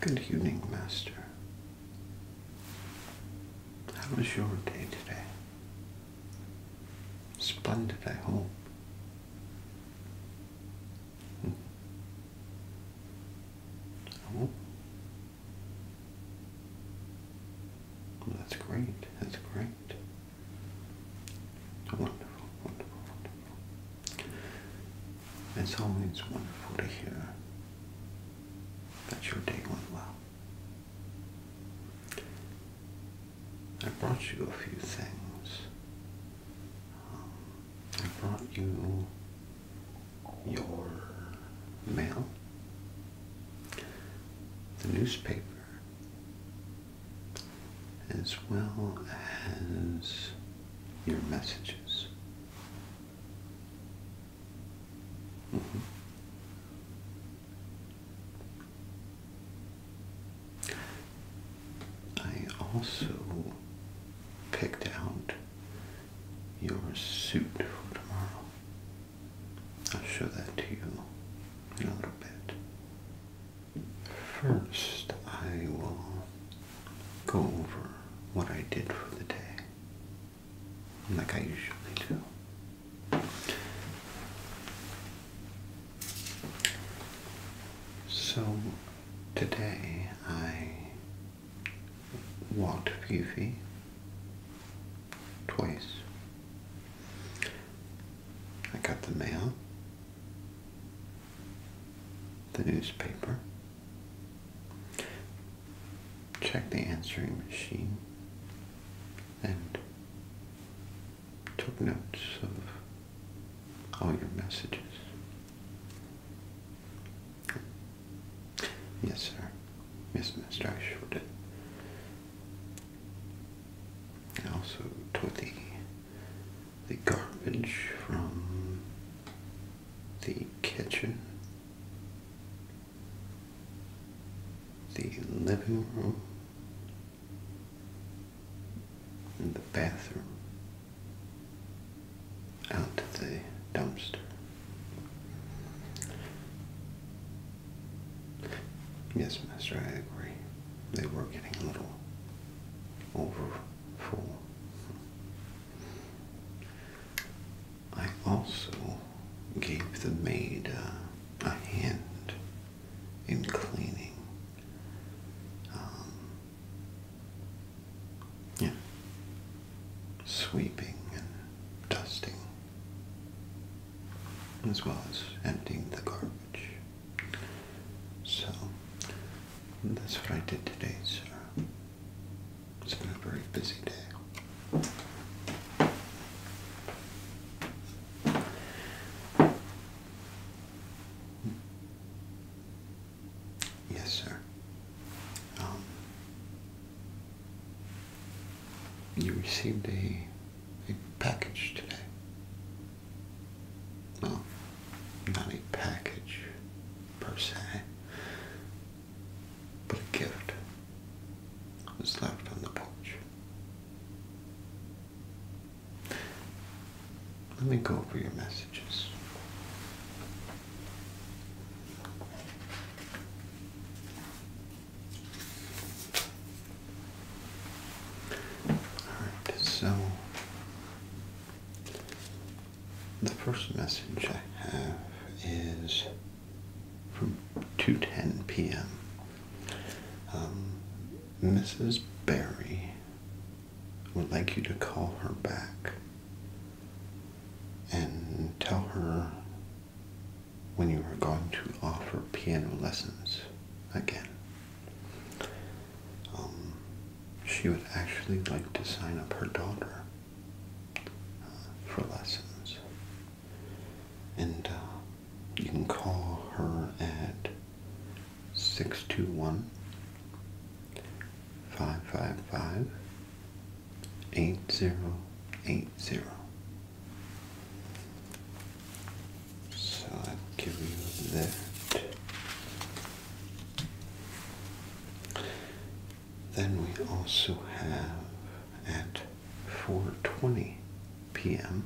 Good evening, Master. How was your day today? Splendid, I hope. Hmm. Oh. that's great. That's great. Wonderful, wonderful, wonderful. It's always wonderful to hear that your day went well. I brought you a few things. Um, I brought you your mail, the newspaper, as well as your messages. Mm-hmm. I also picked out your suit for tomorrow. I'll show that to you in a little bit. First, I will go over what I did for the day, like I usually do. So today I walked Fifi twice. I got the mail the newspaper, checked the answering machine, and took notes of all your messages. Yes, sir. Yes, Mr. I sure did. I also taught the the garbage from the kitchen, the living room, and the bathroom out to the dumpster. Yes, Master, I agree. They were getting a little over four. I also gave the maid a hand in cleaning. Um, yeah. Sweeping and dusting, as well as emptying the garbage. So that's what I did today, sir. It's been a very busy day. Yes, sir. Um, you received a package today well, not a package per se, but a gift was left on the porch. Let me go over your messages. Alright, so the first message I have is from 2.10 p.m. Um, Mrs. Barry would like you to call her back and tell her when you are going to offer piano lessons again. Um, she would actually like to sign up her daughter uh, for lessons. And uh, you can call her at 621 555 8080. So I'll give you that. Then we also have at 4:20 p.m.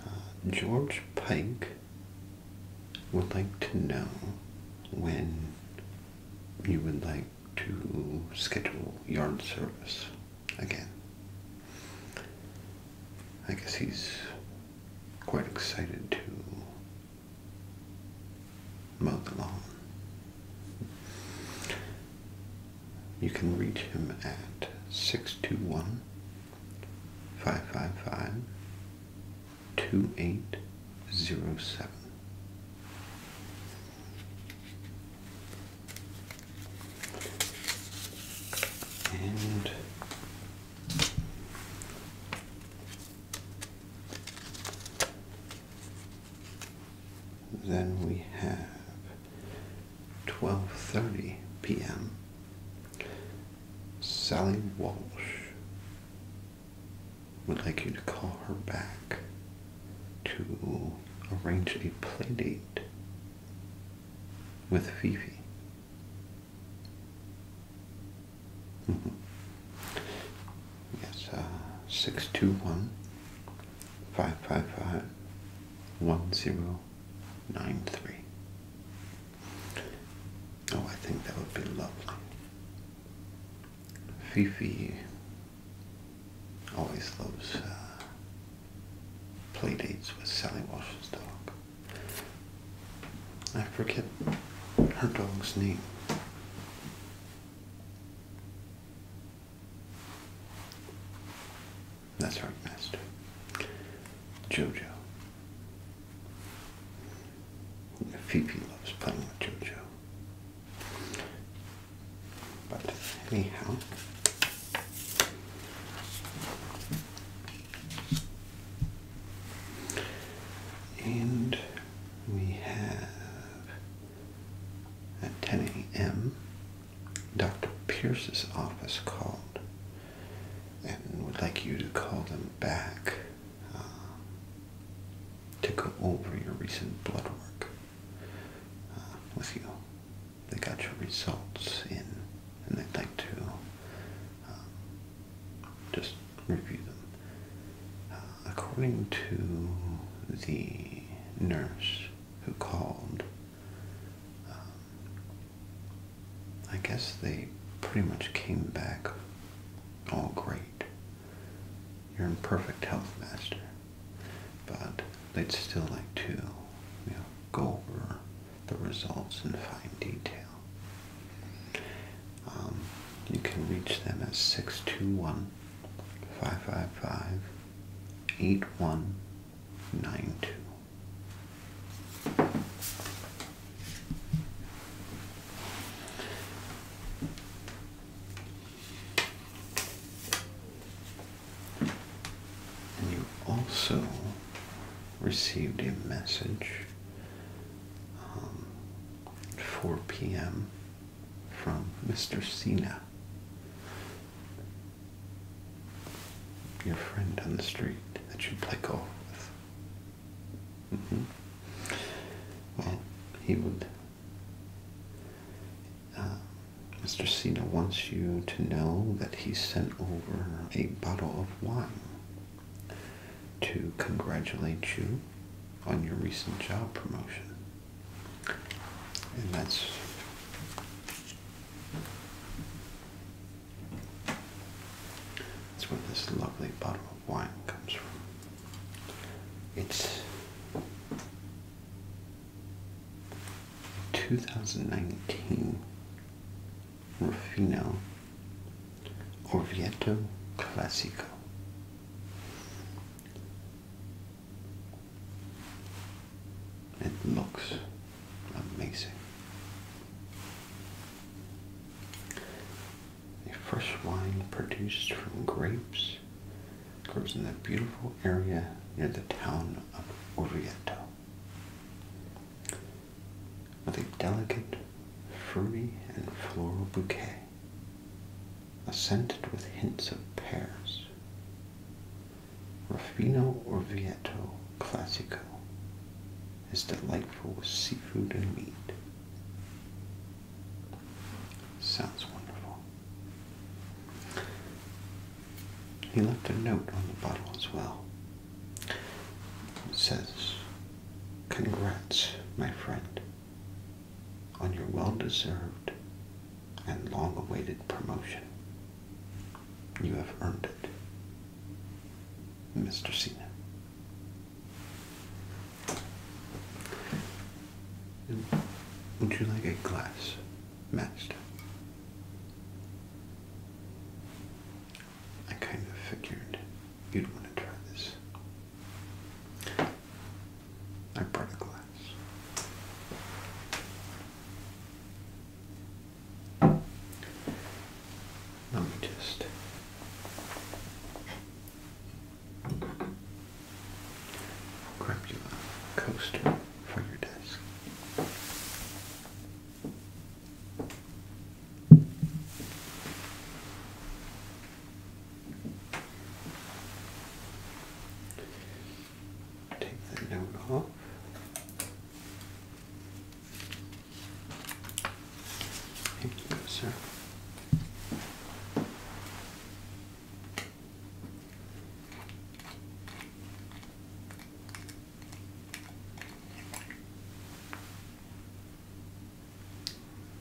Uh, George Pike would like to know when you would like to schedule yard service again. I guess he's quite excited to mow the lawn. You can reach him at 621 555 2807 and then we have 12.30 p.m. Sally Walsh would like you to call her back to arrange a play date with Fifi. Mm-hmm. Yes, uh, 621 555 1093. Oh, I think that would be lovely. Fifi always loves uh, playdates with Sally Walsh's dog. I forget her dog's name. That's her master, Jojo. Fifi loves playing with Jojo. But anyhow. And we have at 10 a.m. Dr. Pierce's office called and would like you to call them back uh, to go over your recent blood work uh, with you they got your results in, and they'd like to um, just review them. Uh, according to the nurse who called, um, I guess they pretty much came back all great. You're in perfect health, Master but they'd still like to, you know, go over the results in fine detail. Um, you can reach them at 621 555 8192. And you also received a message um, at 4 p.m. from Mr. Cena, your friend on the street that you play golf with. Mm he would uh, Mr. Cena wants you to know that he sent over a bottle of wine to congratulate you on your recent job promotion. And that's that's where this lovely bottle of wine comes from. It's 2019 Rufino Orvieto Classico. It looks amazing. A fresh wine produced from grapes grows in the beautiful area near the town of Orvieto. With a delicate, fruity, and floral bouquet, scented with hints of pears, Ruffino Orvieto Classico is delightful with seafood and meat. Sounds wonderful. He left a note on the bottle as well. It says, Congrats, my friend, on your well deserved and long awaited promotion. You have earned it, Mr. Cena. Would you like a glass matched. I kind of figured you'd want to try this. I brought a glass. Let me just. Grab Crapula coaster for your desk. Take that note off. Thank you, sir.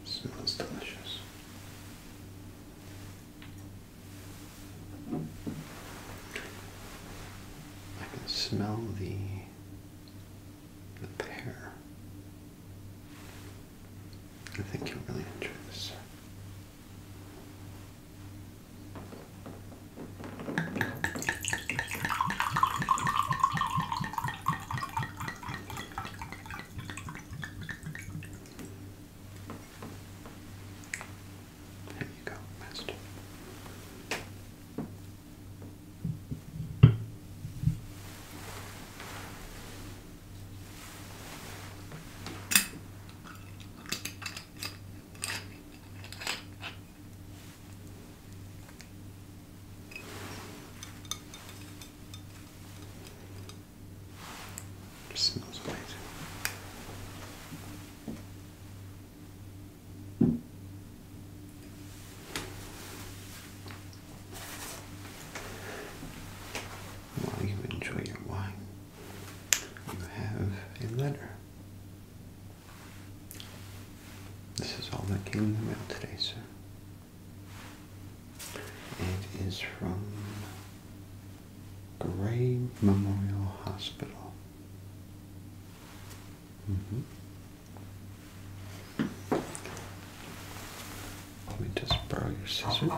Smells delicious. I can smell the the pear. I think you'll really enjoy this, there you go, master. It smells amazing while you enjoy your wine, you have a letter. This is all that came in the mail today, sir. It is from Gray Memorial Hospital. Mm-hmm. Let me just borrow your scissors.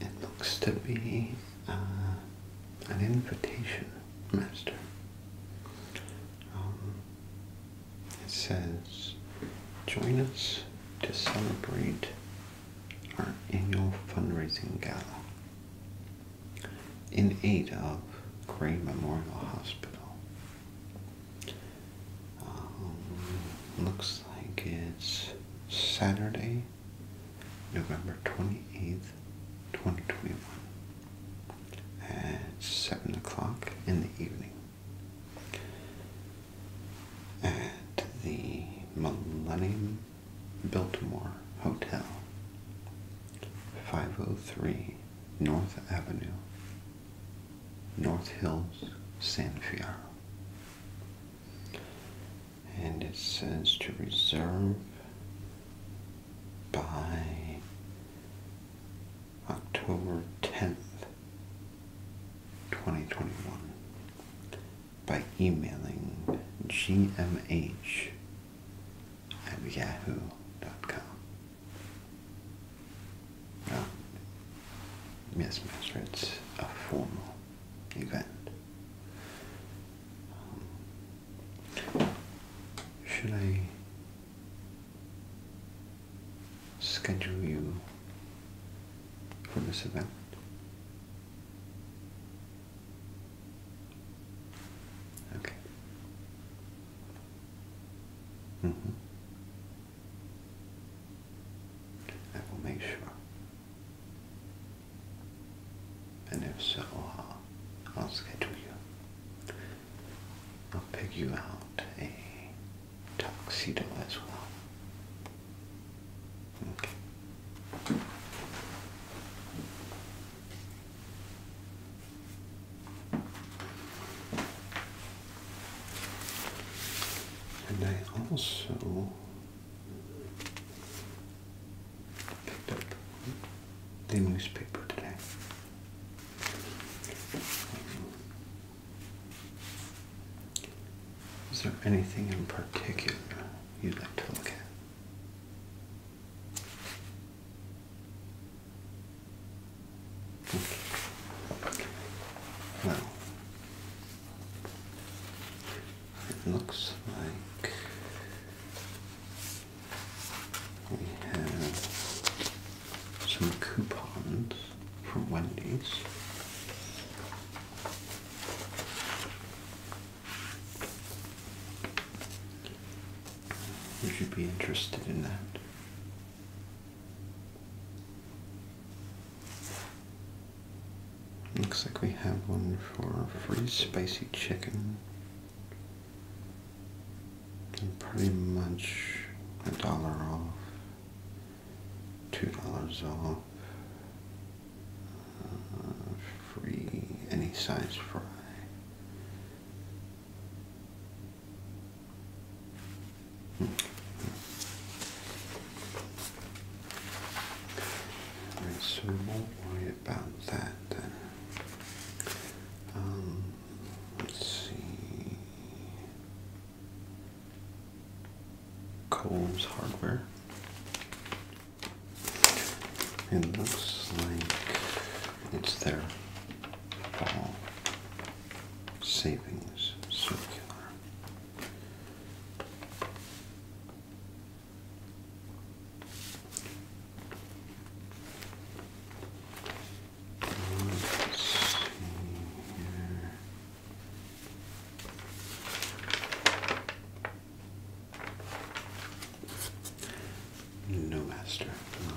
It looks to be uh, an invitation, Master. Um, it says, Join us to celebrate our annual fundraising gala in aid of Gray Memorial Hospital. Um, looks like it's Saturday, November 28th, 2021 at 7 o'clock in the evening at the Millennium Biltmore Hotel, 503 North Avenue, North Hills, San Fierro. And it says to reserve by October 10th, 2021, by emailing gmh at yahoo.com. Oh, yes, Master, it's a formal event. Um, should I schedule you for this event? Okay. Mm hmm I will make sure. And if so, I'll schedule you. I'll pick you out a tuxedo as well. Okay. And I also picked up the newspaper today. Is there anything in particular you'd like to look at? Hmm. Well, it looks like we have some coupons from Wendy's. Would you be interested in that? Looks like we have one for free spicy chicken pretty much a dollar off, two dollars off, uh, free any size fry. Mm -hmm. All right, worry about that then? Um, let's see. Coles Hardware. It looks like it's their savings circular. No master. Um,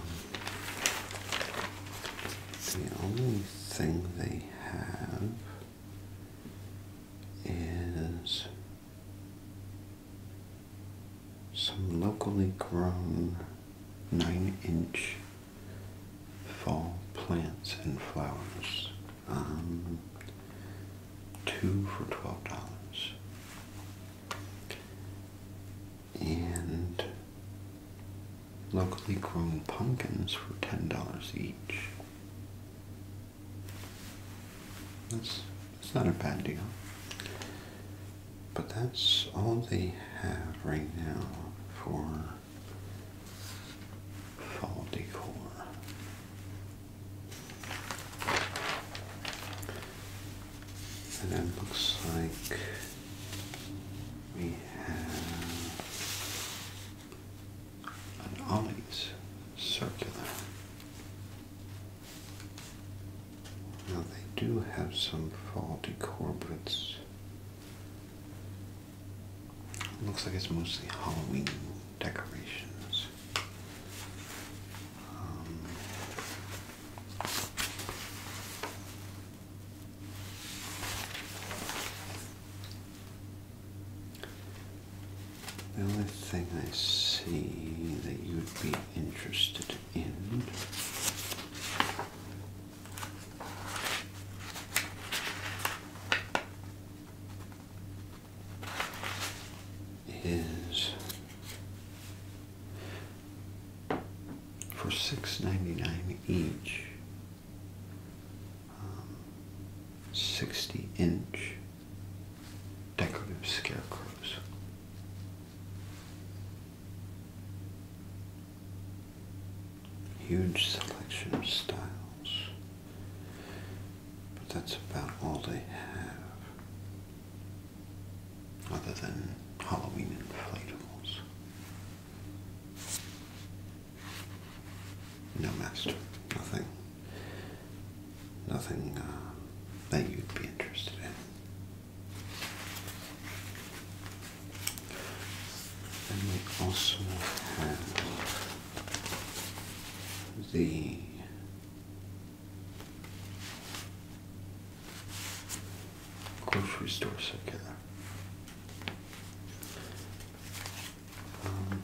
the only thing they have is some locally grown 9 inch fall plants and flowers. Um, two for $12. And locally grown pumpkins for $10 each. That's it's not a bad deal. But that's all they have right now for fall decor. And it looks like we have an Ollie's circular. Now they do have some faulty corporates. looks like it's mostly Halloween decorations. Um, the only thing I see that you would be interested in is for six ninety nine each, um, sixty inch decorative scarecrows. Huge selection of styles, but that's about all they have, other than Halloween inflatables. No master, nothing. Nothing uh, that you'd be interested in. we also have the grocery store circular. Um,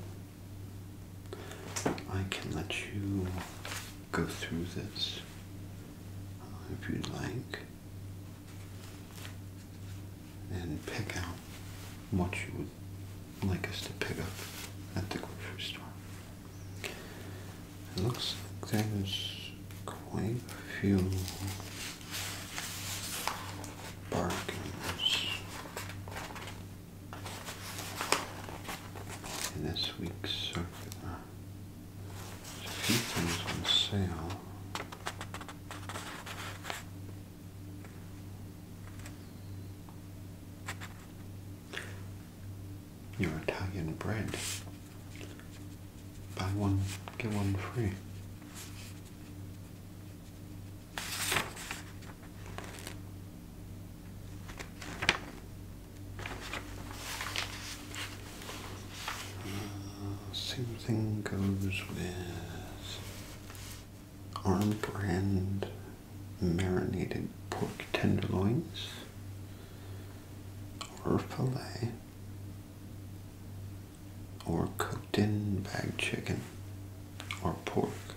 I can let you go through this uh, if you'd like and pick out what you would like us to pick up at the grocery store. It looks like there's quite a few bargains in this week's circular. There's uh, a few things on sale. Your Italian bread. Buy one, get one free. Uh, same thing goes with Arm Brand marinated pork tenderloins or filet or cooked in bag chicken or pork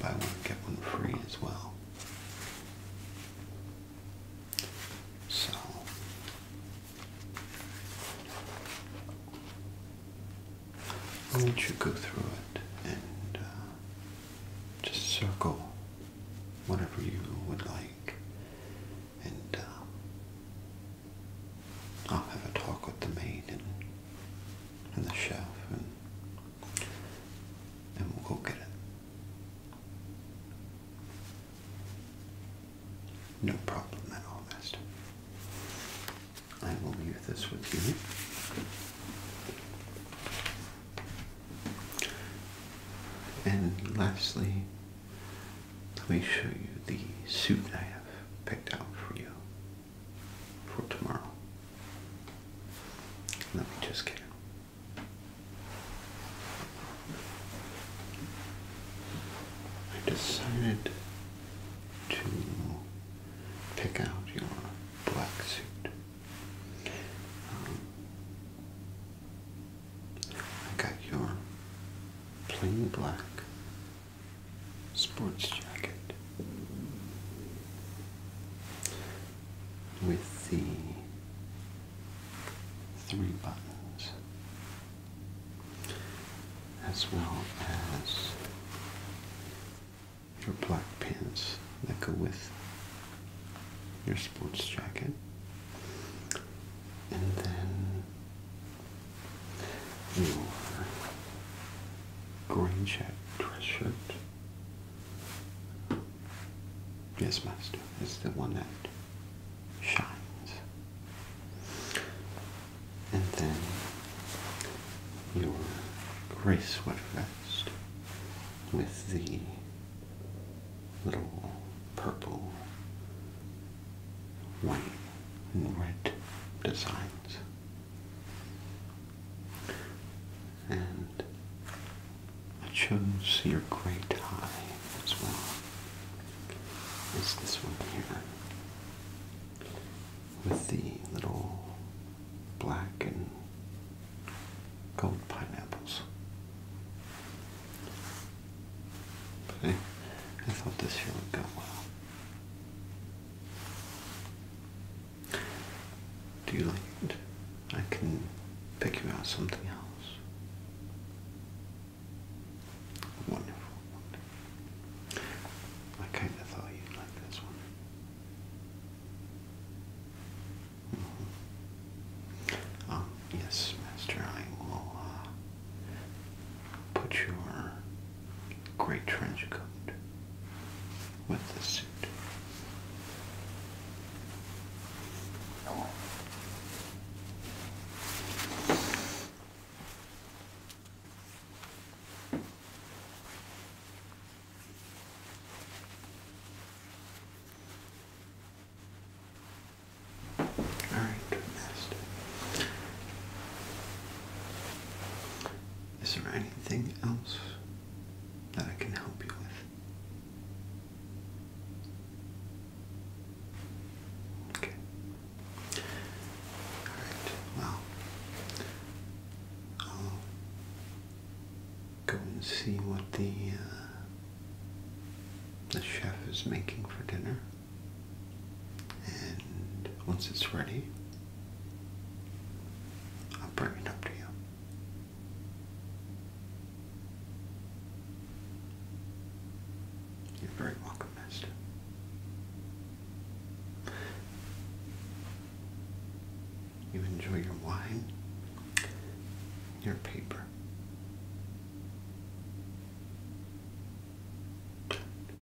Buy one, get one free as well. So I'll let you go through it and uh, just circle whatever you would like, and uh, I'll have a talk with the maid and, and the chef and and we'll go get it. No problem at all, Master. I will leave this with you. And lastly, let me show you the suit I have picked out for you for tomorrow. Let me just get it. I decided to pick out your black suit. Um, I got your plain black sports jacket with the three buttons as well as your black pants that go with your sports jacket and then your green jacket dress Yes, Master, it's the one that shines. And then your gray sweater vest with the little purple, white, and red designs and I chose your gray tie as well. It's this one here with the little black and gold pineapples. I, I thought this here would go well. Do you like it? I can pick you out something else. Wonderful. wonderful. I kind of thought you'd like this one. Mm-hmm. Oh, yes, Master, I will uh, put your Great trench coat with the suit. All right, is there anything else that I can help you with? Okay. Alright, well, I'll go and see what the, uh, the chef is making for dinner. And once it's ready, I'll bring it up to you. You're very welcome, Master. You enjoy your wine, your paper.